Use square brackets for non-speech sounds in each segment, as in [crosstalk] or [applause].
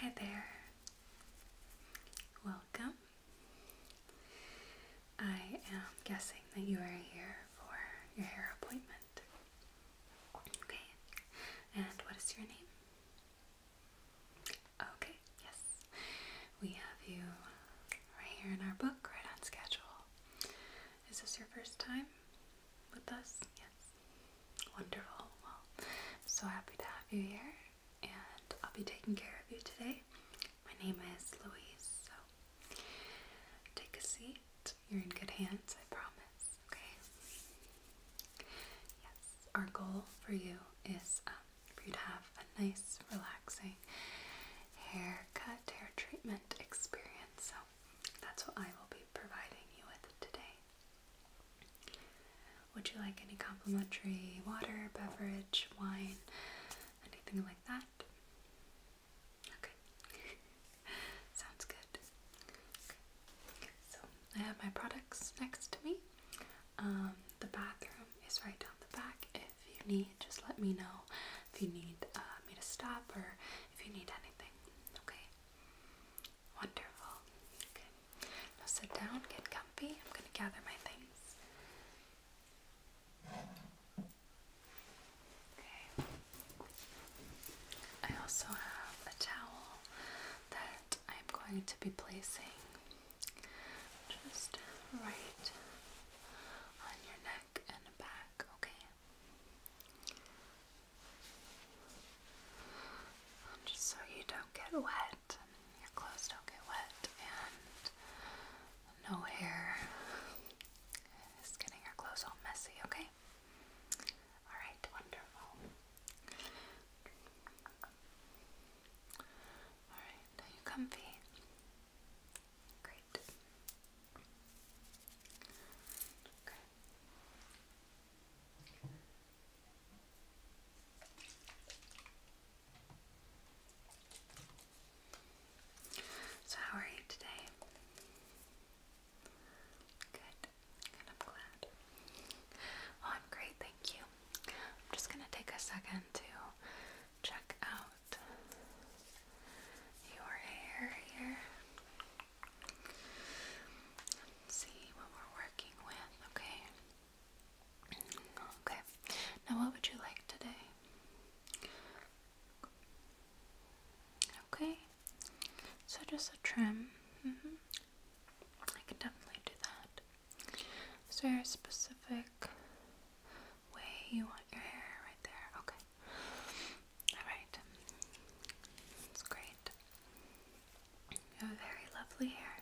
Hi there. Welcome. I am guessing that you are here for your hair appointment. Okay. And what is your name? Okay, yes. We have you right here in our book, right on schedule. Is this your first time? with us? Yes. Wonderful. Well, so happy to have you here, and I'll be taking care of you today. My name is Louise, so take a seat. You're in good hands, I promise. Okay? Yes, our goal for you is um, for you to have a nice, relaxing haircut, hair treatment experience. So that's what I will be providing you with today. Would you like any complimentary water, beverage, wine, anything like that? Okay. [laughs] Sounds good. Okay. So I have my products next to me. Um, the bathroom is right down the back. If you need, just let me know if you need uh, me to stop or if you need anything. Okay. Wonderful. Now sit down, get comfy. I'm going to gather my things. Okay. I also have a towel that I'm going to be placing just right on your neck and back, okay? Um, just so you don't get wet, your clothes don't get wet, and no hair is getting your clothes all messy, okay? Alright, wonderful. Alright, now you comfy. Great. Okay. So, how are you today? Good. I'm glad. I'm great, thank you. I'm just gonna take a second to check out your hair here see what we're working with, okay? Okay, now what would you like today? Okay, so just a trim. Mm -hmm. I can definitely do that. Is there a specific way you want your hair right there? Okay. Alright. That's great. You have very lovely hair.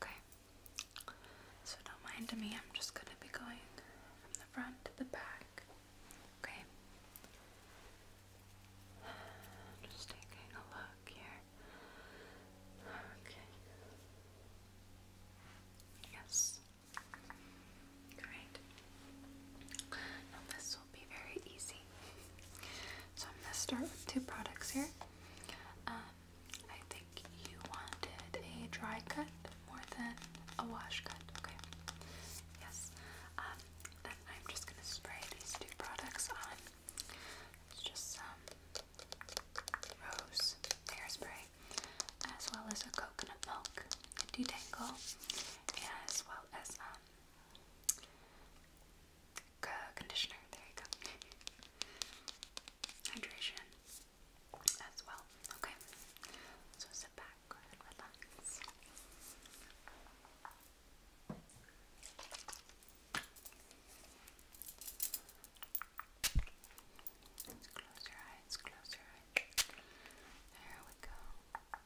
Okay. So don't mind me, I'm just gonna be going from the front to the back. Okay. Just taking a look here. Okay. Yes. Great. Now this will be very easy. So I'm going to start with two products here. Um, I think you wanted a dry cut more than a wash cut. Okay. Yes. Um, then I'm just going to spray these two products on. It's just some rose hairspray as well as a coconut milk detangle as well as um, conditioner. There you go. Hydration as well. Okay, so sit back relax. Let's close your eyes, close your eyes. There we go.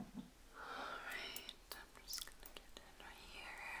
Alright, I'm just gonna get in here.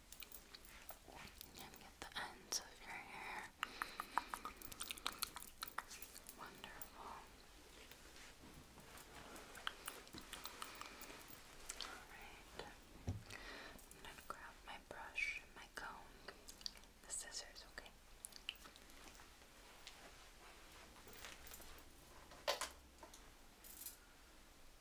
And get the ends of your hair. Wonderful. Alright. I'm gonna grab my brush and my comb. The scissors, Okay.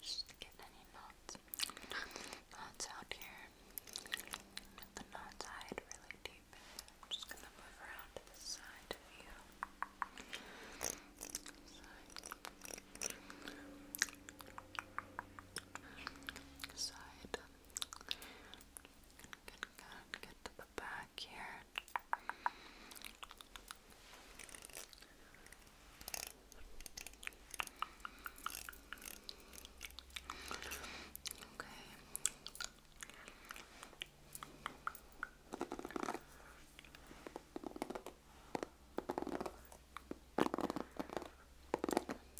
Just to any knots, knots out here. the knots hide really deep. I'm just gonna move around to the side of you. Side. Good, good, Get to the back here. Okay.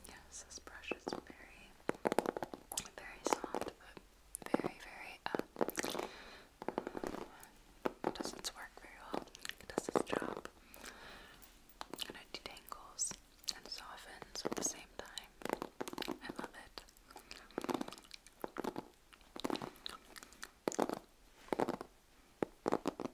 Yes, this brush is very, very soft, but very, very, um, it doesn't work very well. It does its job. And detangles and softens at the same time. I love it.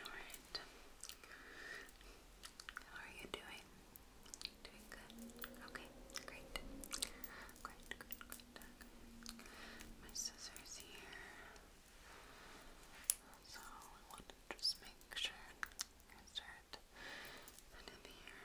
Alright. How are you doing? Doing good? Okay, great. Great, great, My scissors here. So we want to just make sure I start putting the hair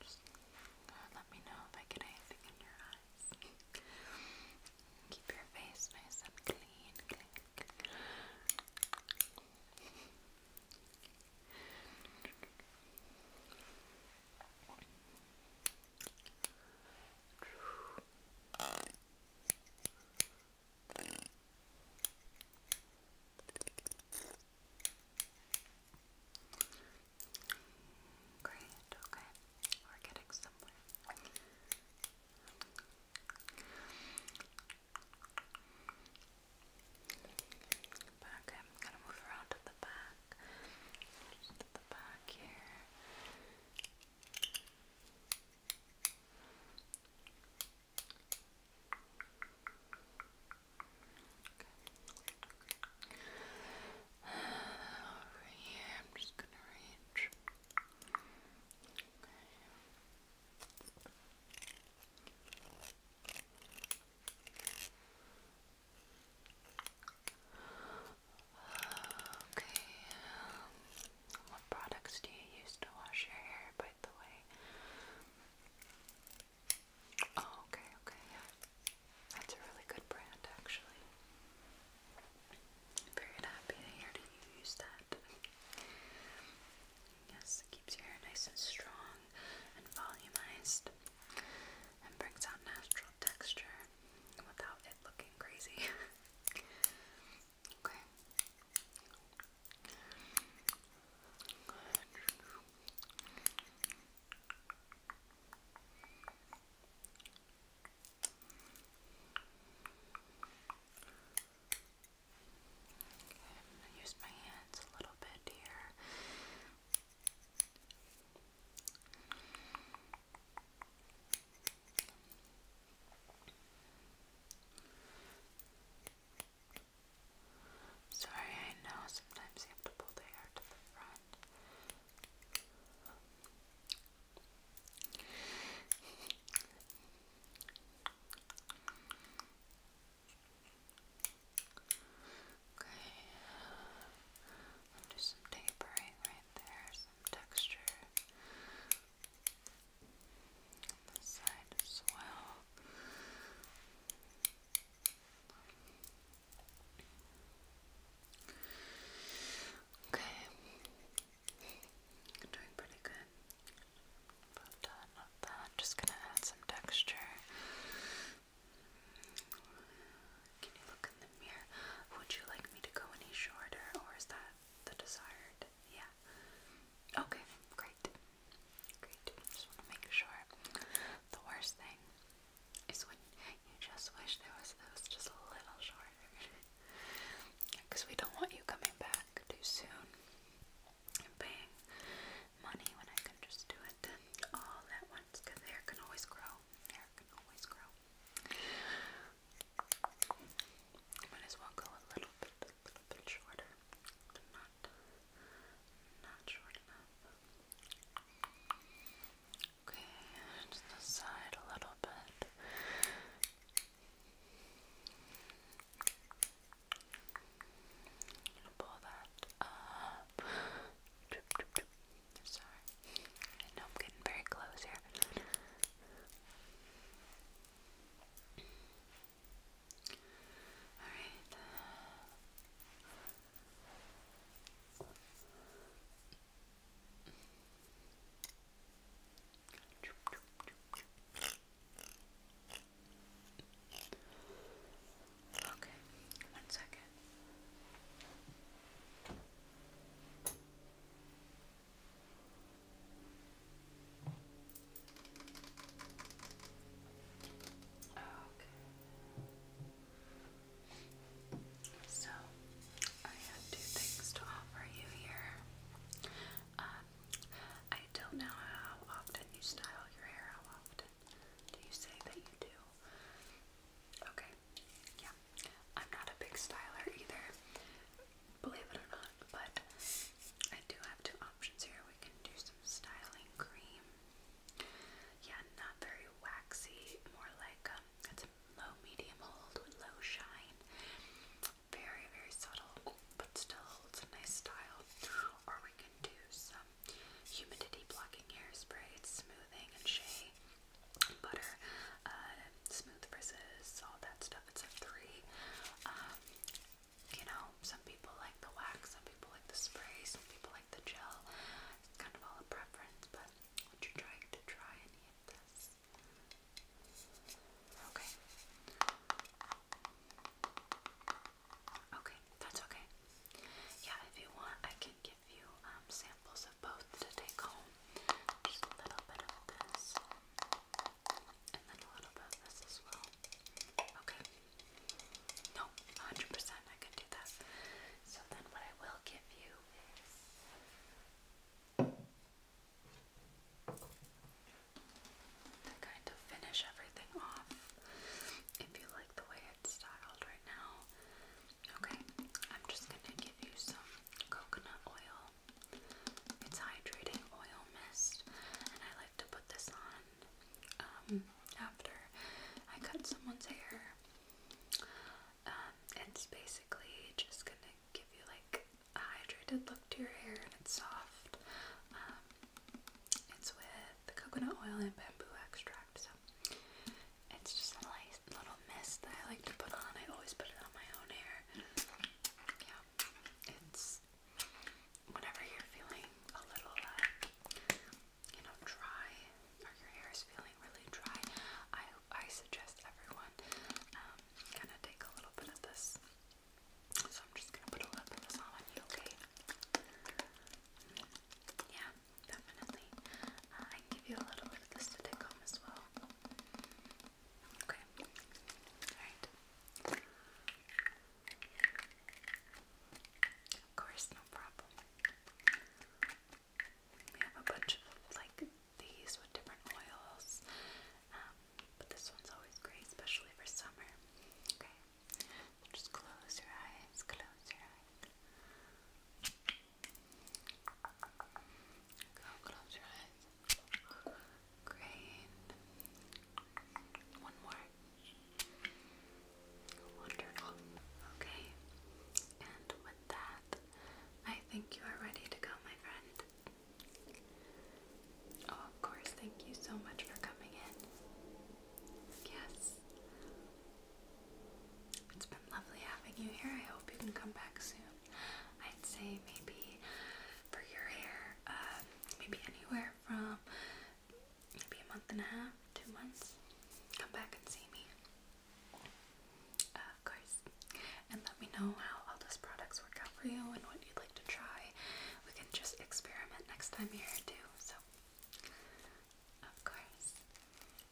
Just uh, let me know if I get anything in your eyes. [laughs] Keep your face nice and clean. Great, okay. We're getting somewhere. Back, I'm gonna move around to the back. Just the back here. Okay. over here, I'm just gonna reach. Okay. Um, what products do you use to wash your hair, by the way? Oh, okay, okay, yeah. That's a really good brand, actually. very happy to hear you use that. Yes, it keeps your hair nice and strong and volumized and brings out natural texture without it looking crazy. [laughs] okay. I'm gonna use my hands a little bit here. Okay. Sorry, I know sometimes you have to pull the hair to the front. Okay, uh, do some tapering right there, some texture on this side as well. Okay, you're doing pretty good. About done with Just gonna add some texture. Can you look in the mirror? Would you like me to go any shorter, or is that the desired? Yeah. Okay, great. Great. just want to make sure. The worst thing is when you just wish there was that just a little shorter. Because [laughs] we don't want you coming back too soon and paying money when I can just do it all at once. Because hair can always grow. Hair can always grow. Might as well go a little bit, a little bit shorter. Not Okay, just the side a little bit. I'm pull that up. Sorry. I know I'm getting very close here. Alright. Okay, one second. Okay. So, I have two things to offer you here. Um, I don't know how often you style your hair. How often do you say that you do? Okay, yeah. I'm not a big styler either, believe it or not, but I do have two options here. We can do some styling cream yeah, not very waxy, more like um, it's a low medium hold with low shine. Very, very subtle, but still holds a nice style. Or we can do some humidity blocking hairspray, it's smoothing and shea, butter, uh, smooth brisses, all that stuff. It's a three. Um, you know, some people like the wax, some people like the spray, some people like the gel. It's kind of all a preference, but would you try to try any of this? Okay. Okay, that's okay. Yeah, if you want, I can give you um, samples of both to take home. Just a little bit of this, and then a little bit of this as well. Okay. No, 100% I could do that. So then what I will give you is to kind of finish everything off if you like the way it's styled right now. Okay, I'm just going to give you some coconut oil. It's hydrating oil mist, and I like to put this on um, after I cut someone's hair. Um, it's basically just gonna give you like a hydrated look to your hair and it's soft. Um, it's with the coconut oil and bamboo extract, so it's just a nice little mist that I like to put on. I always put it on my own hair. Yeah, it's whenever you're feeling a little uh, you know, dry or your hair is feeling really dry, I I suggest everyone um, kind of take a little bit of this. So I'm just gonna put a little bit of this on you, okay? Yeah, definitely. Uh, I give you a little bit of this to take home as well. Okay. All right. Of course, no problem. We have a bunch of like these with different oils, um, but this one's always great, especially for summer. Okay, just close your eyes, close your eyes. Go, close your eyes. Great. One more. Wonderful. Okay. And with that, I think you are ready to go, my friend. Oh, of course. Thank you so much for coming in. Yes. It's been lovely having you here. I hope you can come back soon. I'd say maybe for your hair, uh, maybe anywhere from maybe a month and a half, two months, come back and see me. of course. And let me know how all those products work out for you and what you'd like to try. We can just experiment next time you're here too. So, of course.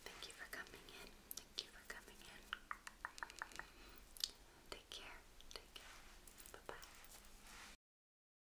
Thank you for coming in. Thank you for coming in. Take care. Take care. Bye bye.